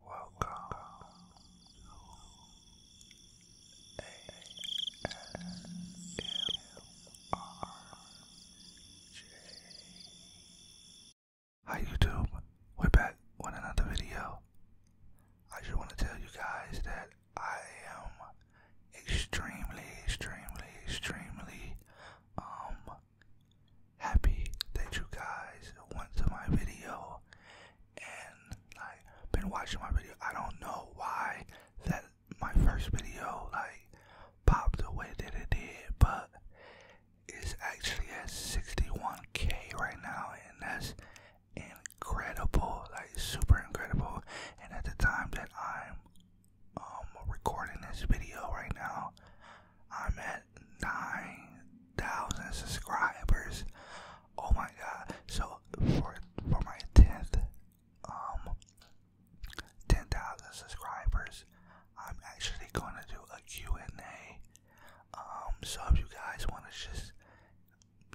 Welcome Hi YouTube, we're back with another video. I just want to tell you guys that I am extremely, extremely, extremely um happy that you guys went to my video and like been watching my video. I don't know why that my first video like popped the way that it did, but it's actually at 61k right now, and that's incredible, like super incredible. And at the time that I'm um recording this video right now, I'm at 9,000 subscribers. Oh my god. So for for my 10th um 10,000 subscribers, I'm actually going to do a Q&A. Um so if you guys want to just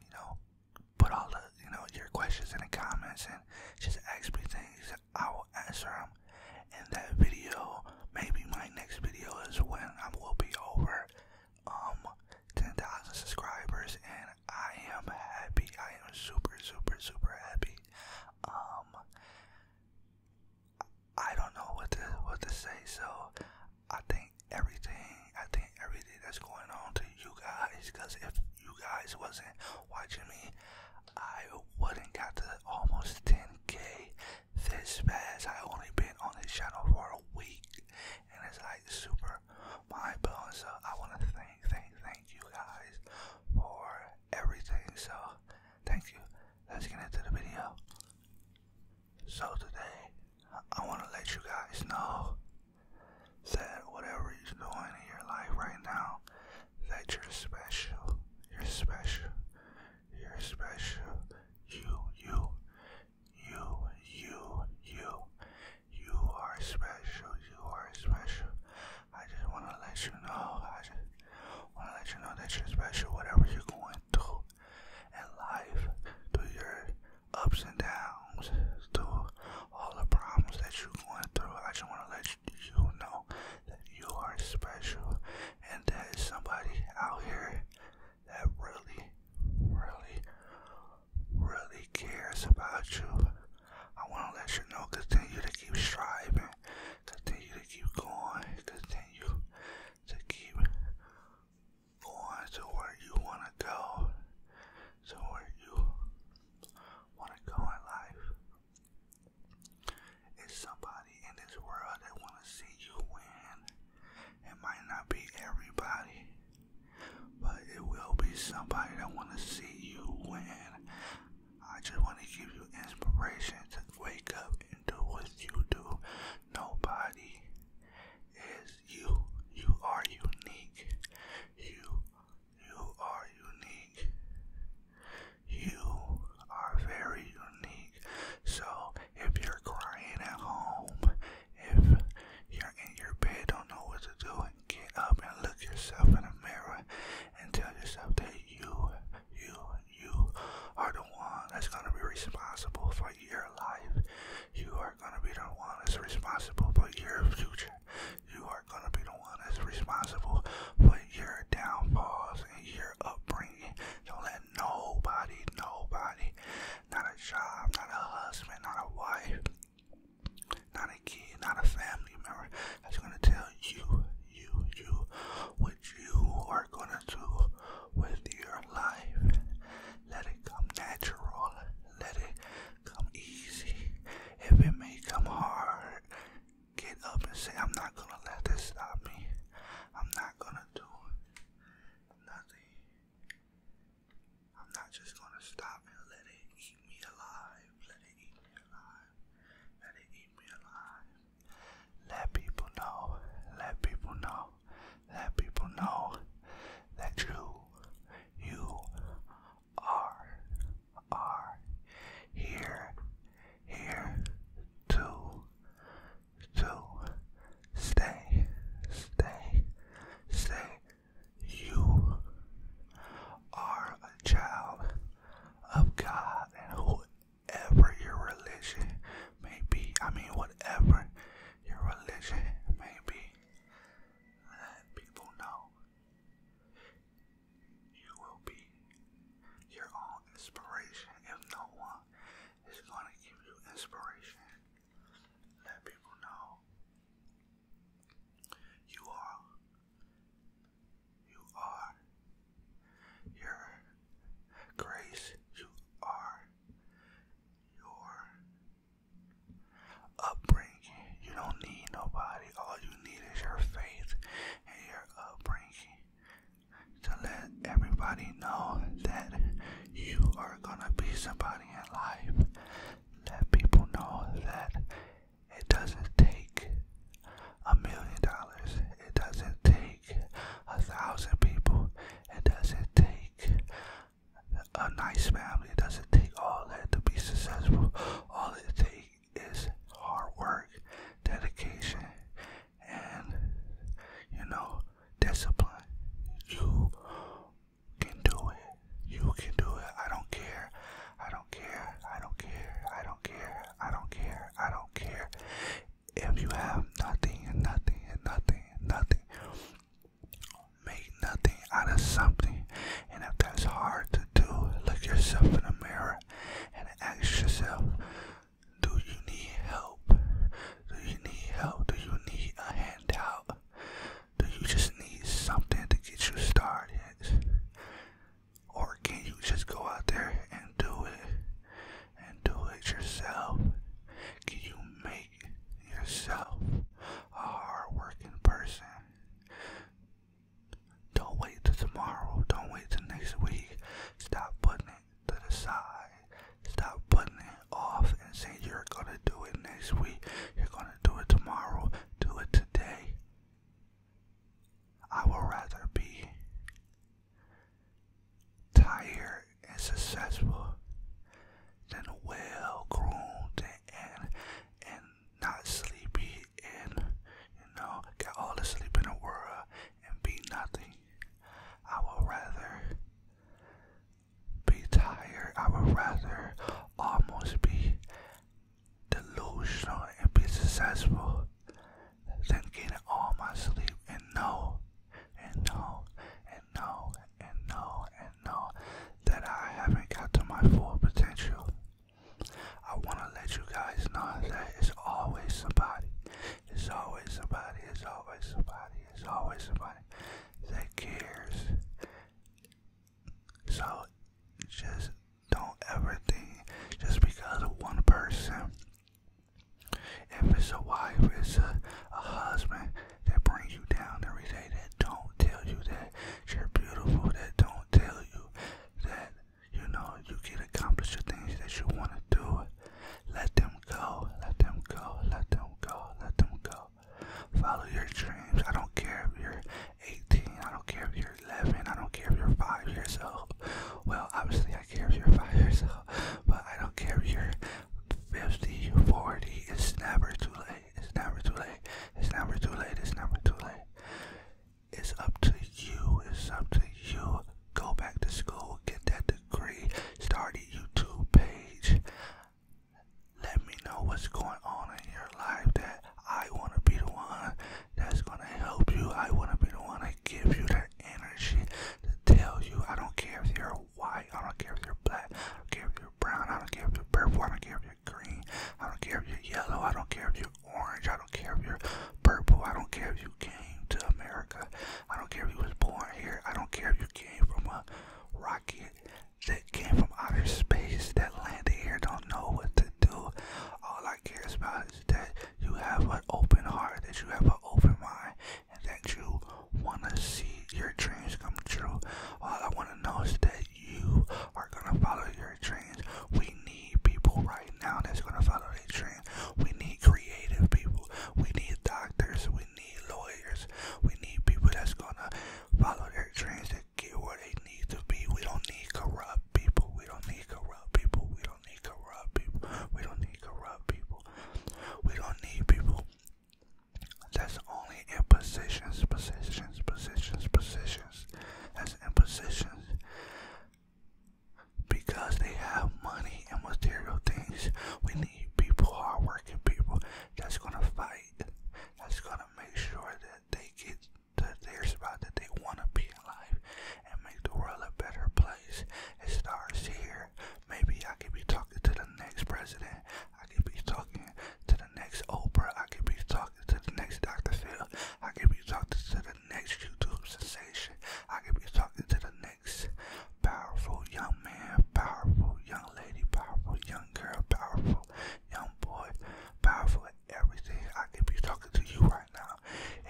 you know put all the you know your questions in the comments and just ask me things, I will answer them in that video maybe my next video is when I will be over um 10,000 subscribers, and I am happy. I am super, super, super happy. Um, I don't know what to what to say. So I think everything, I think everything that's going on to you guys, because if you guys wasn't watching me, I wouldn't got to almost 10k this fast, I only been on this channel for a week, and it's like super My blowing. So I want to thank, thank, thank you guys for everything. So thank you. Let's get into the video. So today, I want to let you guys know that whatever you're doing in your life right now, that you're special. You're special. You're special. You, you, you, you, you. You are special. You are special. I just want to let you know. I just want to let you know that you're special. Whatever you're going through in life, through your ups and downs, through all the problems that you're going through, I just want to let you know that you are special and that somebody out here that really, really, really cares about you. I want to let you know continue to keep striving, continue to keep going, continue to keep going to where you want to go, to where you want to go in life. It's somebody in this world that want to see you win. It might not be everybody, but it will be somebody that want to see you win. I just want to give you inspiration to wake up and do what you do. Nobody is you. You are unique. You you are unique. You are very unique. So if you're crying at home, if you're in your bed, don't know what to do, get up and look yourself in the mirror and tell yourself that you, you, you are the one that's gonna be responsible for your life. You are gonna be the one that's responsible for your future. You are gonna be the one that's responsible for your downfalls and your upbringing. Don't let nobody, nobody, not a job, not a husband, not a wife, not a kid, not a family member that's gonna tell you, you, you what you are gonna do with your life. Let it come natural. Let it come easy. If it may come hard, get up and say, I'm not gonna let this stop me. I'm not gonna do it nothing. I'm not just gonna stop and let it eat me alive. Let it eat me alive. Let it eat me alive. Let people know. Let people know. Let people know that you, you are, are here, here to so stay, stay, stay. You are a child of God and whoever your religion may be. I mean, whatever your religion may be. Let people know you will be your own inspiration if no one it's going to give you inspiration. Let people know you are, you are, your grace, you are, your upbringing. You don't need nobody. All you need is your faith and your upbringing to let everybody know that you are gonna be somebody in life. Let people know that it doesn't take a million dollars, it doesn't take a thousand people, it doesn't take a nice family, it doesn't take all that to be successful. All it takes is hard work, dedication, and you know discipline. You can do it. You can do it. I don't care. I don't care. I don't care. I don't care. I don't care. I don't care. If you have nothing and nothing and nothing and nothing, make nothing out of something. And if that's hard to do, look yourself in the mirror and ask yourself, do you need help? Do you need help? Do you need a handout? Do you just need something to get you started? Or can you just go out there and do it? And do it yourself? Can you make yourself a hard-working person? Don't wait till tomorrow. Don't wait till next week. Stop putting it to the Stop putting it off and saying you're gonna do it next week. You're gonna do it tomorrow. Do it today. I will rather be tired and successful than well groomed and and not sleepy and you know got all the in the world and be nothing. I would rather be tired. I would rather almost be delusional and be successful than get all my sleep and know and know and know and know and know that I haven't got to my full potential. I want to let you guys know that it's always somebody. It's always somebody, it's always somebody, it's always somebody that cares. So just don't ever think just because one person. If it's a wife, it's a, a husband that brings you down every day, that don't tell you that you're beautiful, that don't tell you that you know, you can accomplish the things that you want to do. Let them go, let them go, let them go, let them go. Follow your dreams. I don't care if you're 18, I don't care if you're 11, I don't care if you're 5 years old. Well, obviously, I care if you're 5 years old, but I don't care if you're 50, 40. It's never too late. It's never too late. It's never too late. It's never too late. It's up to you. It's up to you go back to school, get that degree, start a YouTube page. Let me know what's going on in your life that I want to be the one that's going to help you. I want to be the one that give you that energy to tell you. I don't care if you're white, I don't care if you're black, I don't care if you're brown, I don't care if you're purple, I don't care if you're green, I don't care if you're yellow, I don't care if you're orange, I don't care if you're purple, I don't care if you came to America I don't care if you was born here. I don't care if you came from a rocket that came from outer space that landed here. Don't know what to do. All I care about is that you have an open heart, that you have an open mind, and that you want to see your dreams come true. All I want to know is that you are gonna follow your dreams. We need people right now that's gonna follow their dreams. We need creative people. We need doctors. We need lawyers. We need people that's gonna follow their dreams to get where they need to be. We don't need corrupt people. We don't need corrupt people. We don't need corrupt people. We don't need corrupt people. We don't need people that's only in positions, positions, positions, positions. That's in positions because they have money and material things. We need people, hardworking people, that's gonna fight, that's gonna make sure that they get to their spot that they wanna be in life and make the world a better place. It starts here. Maybe I could be talking to the next president. I could be talking to the next Oprah. I could be talking to the next Dr. Phil. I could be talking to the next YouTube sensation. I could be talking to the next powerful young man, powerful young lady, powerful young girl, powerful young boy, powerful everything. I could be talking to you right now.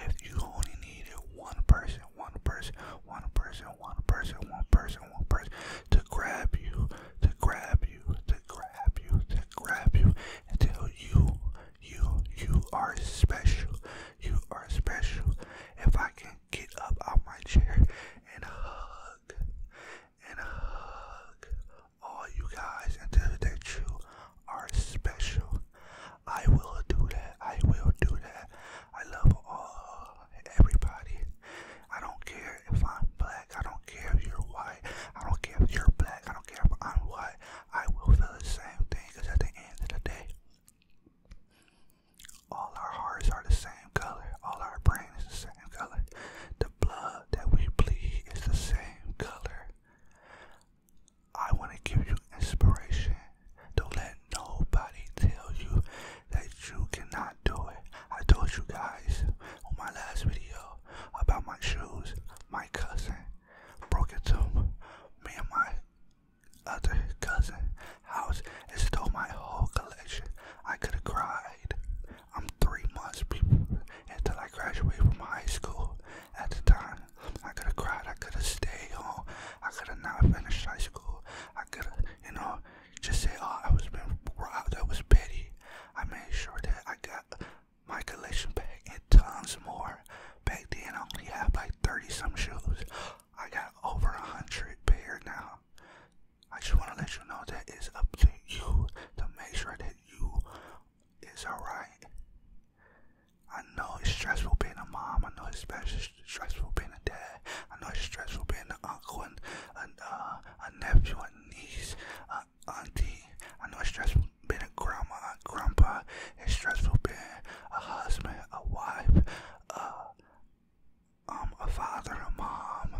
If you only needed one person, one person, one person, one person, one person, one person to grab you, to grab you, to grab you, to grab you until you, you, you are special. You are special. If I can get up out my chair and hug and hug all you guys and tell that you are special. I will do that. I will do that. I love all everybody. I don't care if I'm black. I don't care if you're white. I don't care if you're black. I don't care if I'm white. I will feel the same thing because at the end of the day, all our hearts are the same color. All our brains is the same color. The blood that we bleed is the same color. I want to give you inspiration. Don't let nobody tell you that you cannot do it. I told you guys on my last video about my shoes. My cousin broke into me and my other cousin house stole my whole collection. I could have cried. I'm three months until I graduated from high school. At the time, I could have cried. I could have stayed home. I could have not finished high school. I could have, you know, just say, oh, I was being robbed. That was petty. I made sure that I got my collection back and tons more. Back then, I only had like 30 some shoes. I got over a hundred pair now. I just want to let you know that it's up to you to make sure that you is alright. I know it's stressful being a mom. I know it's stressful being a dad. I know it's stressful being an uncle and, and uh, a nephew, and niece, auntie. I know it's stressful being a grandma, a grandpa, it's stressful being a husband, a wife, uh, um, a father, a mom,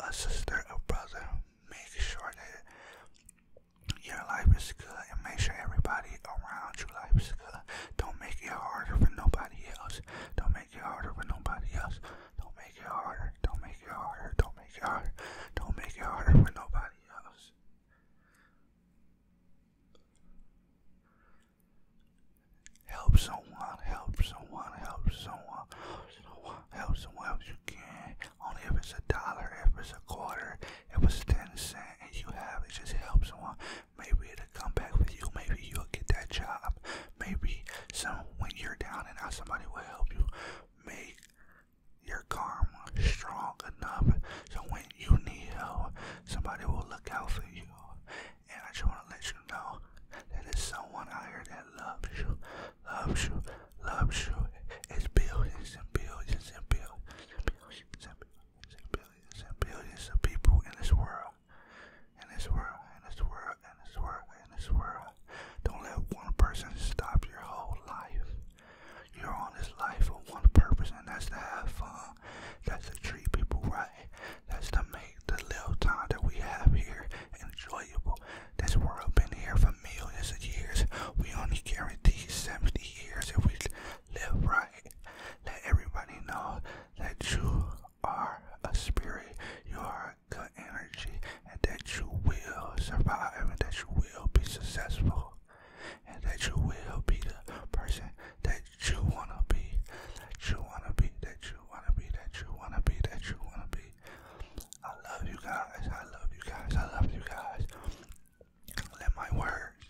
a sister, a brother. Make sure that your life is good and make sure everybody around you life is good. Don't make it harder for nobody else. Don't make it harder for nobody else. Don't make it harder. Don't make it harder. Don't make it harder. Don't make it harder for nobody else. Help someone, help someone, help someone, help someone, help else you can. Only if it's a dollar, if it's a quarter, if it's ten cent and you have it, just helps someone. Maybe it'll come back with you, maybe you'll get that job. Maybe some when you're down and out somebody will help you. Make your karma strong enough so when you need help, somebody will look out for you. And I just want to let you know that there's someone out here that loves you, loves you, loves you. It's billions and billions and billions and billions and billions and billions and billions of people in this world. In this world, in this world, in this world, in this world. Don't let one person stop your whole life. You're on this life for one purpose, and that's to have fun. That's to treat people right. That's to make the little time that we have here enjoyable. This world been here for millions of years. We only guarantee 70 years if we live right. Let everybody know that you are a spirit, you are good energy, and that you will survive and that you will be successful and that you will be the person that you wanna be, that you wanna be, that you wanna be, that you wanna be, that you wanna be. I love you guys, I love you guys, I love you guys. Let my words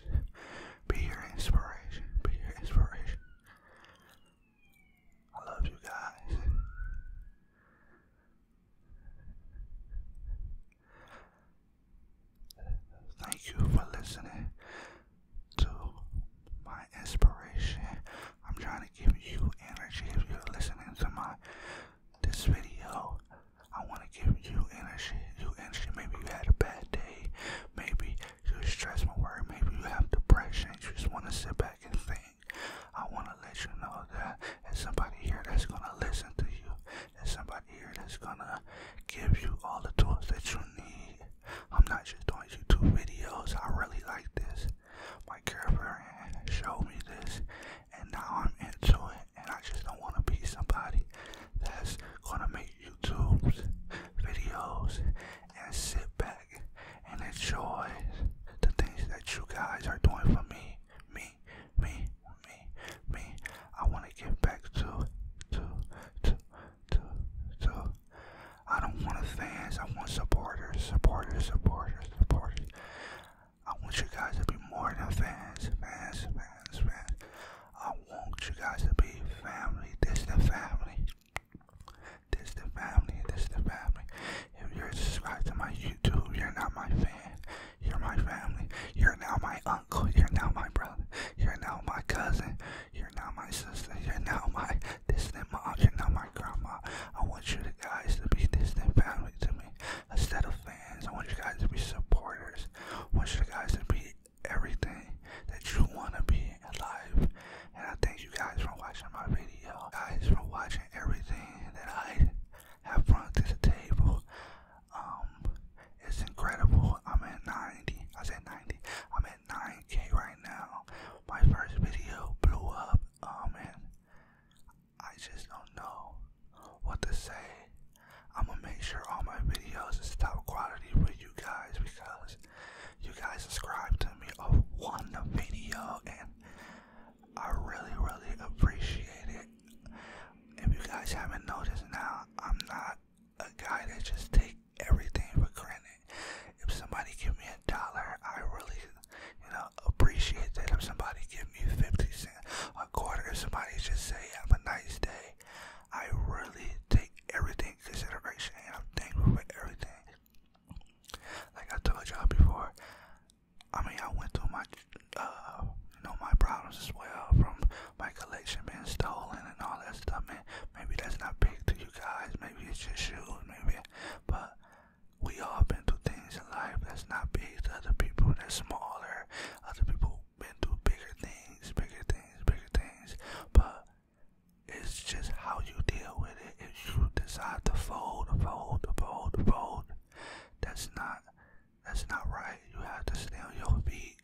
be your inspiration, be your inspiration. I love you guys. Thank you for listening to my inspiration. I'm trying to give you energy if you're listening to my this video. I want to give you energy. You energy. Maybe you had a bad day. Maybe you're stressed and Maybe you have depression. You just want to sit back and think. I want to let you know that there's somebody here that's going to listen to you. There's somebody here that's gonna give you all the tools that you need. I'm not just doing YouTube videos. I really like this. My girlfriend showed me this, and now I'm into it. And I just don't want to be somebody that's gonna make YouTube videos and sit back and enjoy the things that you guys are doing for me. Me me, me, me, me. I want to get back to, to, to, to, to. I don't want fans. I want supporters, supporters, supporters, supporters. I want you guys to be more than fans, fans, fans, fans. I want you guys to be family. This the family. This the family. This the family. If you're subscribed to my YouTube, you're not my fan. You're my family. You're now my uncle. You're now my brother. You're now my cousin. You're now my sister. You're now my distant mom. You're now my grandma. I want you guys to be distant family to me instead of fans. I want you guys to be supporters. I want you guys to be everything that you want to be in life. And I thank you guys for watching my video. Guys for watching everything that I have brought to the table um it's incredible i'm at 90 i I'm at 90 i'm at ninety k right now my first video blew up um and i just don't know what to say i'm gonna make sure all my videos is top quality for you guys because you guys subscribe to me of one video and I really, really appreciate it if you guys haven't noticed now, I'm not a guy that just take everything for granted. If somebody give me a dollar, I really, you know, appreciate that. If somebody give me 50 cents, a quarter, if somebody just say, have a nice day, I really take everything consideration and I'm thankful for everything. Like I told y'all before, I mean, I went too much uh, you know, my problems as well from my collection being stolen and all that stuff. Man, maybe that's not big to you guys. Maybe it's just shoes, maybe. But we all been through things in life that's not big to other people. That's smaller. Other people been through bigger things, bigger things, bigger things. But it's just how you deal with it. If you decide to fold, fold, fold, fold, fold, that's not that's not right. You have to stand on your feet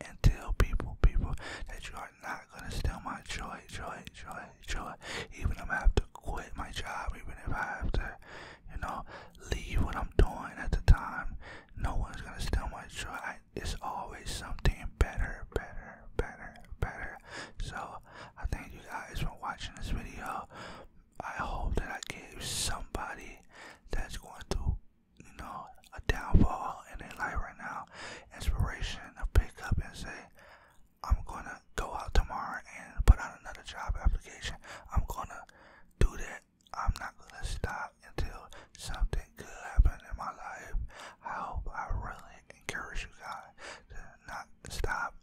and tell people, people, that you are not gonna steal my joy, joy, joy, joy. Even if I have to quit my job, even if I have to, you know, leave what I'm doing at the time, no one's gonna steal my joy. it's always something better, better, better, better. So I thank you guys for watching this video. I hope that I gave somebody that's going to you know, a downfall and then like right now, inspiration to pick up and say, I'm gonna go out tomorrow and put on another job application. I'm gonna do that. I'm not gonna stop until something good happens in my life. I hope I really encourage you guys to not stop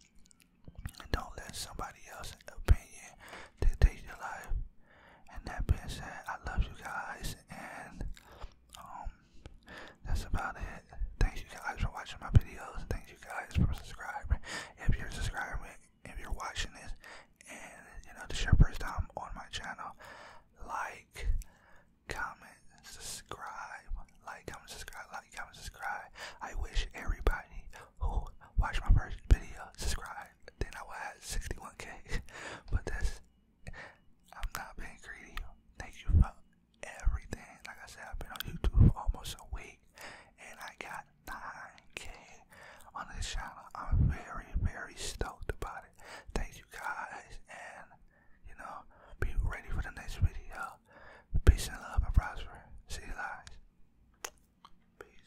and don't let somebody else's opinion dictate your life. And that being said, I love you guys, and um, that's about it. Thanks you guys for watching my videos. Thank you guys for subscribing. If you're subscribing, if you're watching this, and you know this is your first time on my channel, like, comment, subscribe, like, comment, subscribe, like, comment, subscribe. I wish everybody who watched my first video subscribe then I would have 61k. but that's I'm not being greedy. Thank you for everything. Like I said, I've been on YouTube almost a week and I got 9k on this channel. I'm very, very stoked about it. Thank you guys and you know, be ready for the next video. Peace and love and prosper. See you guys. Peace.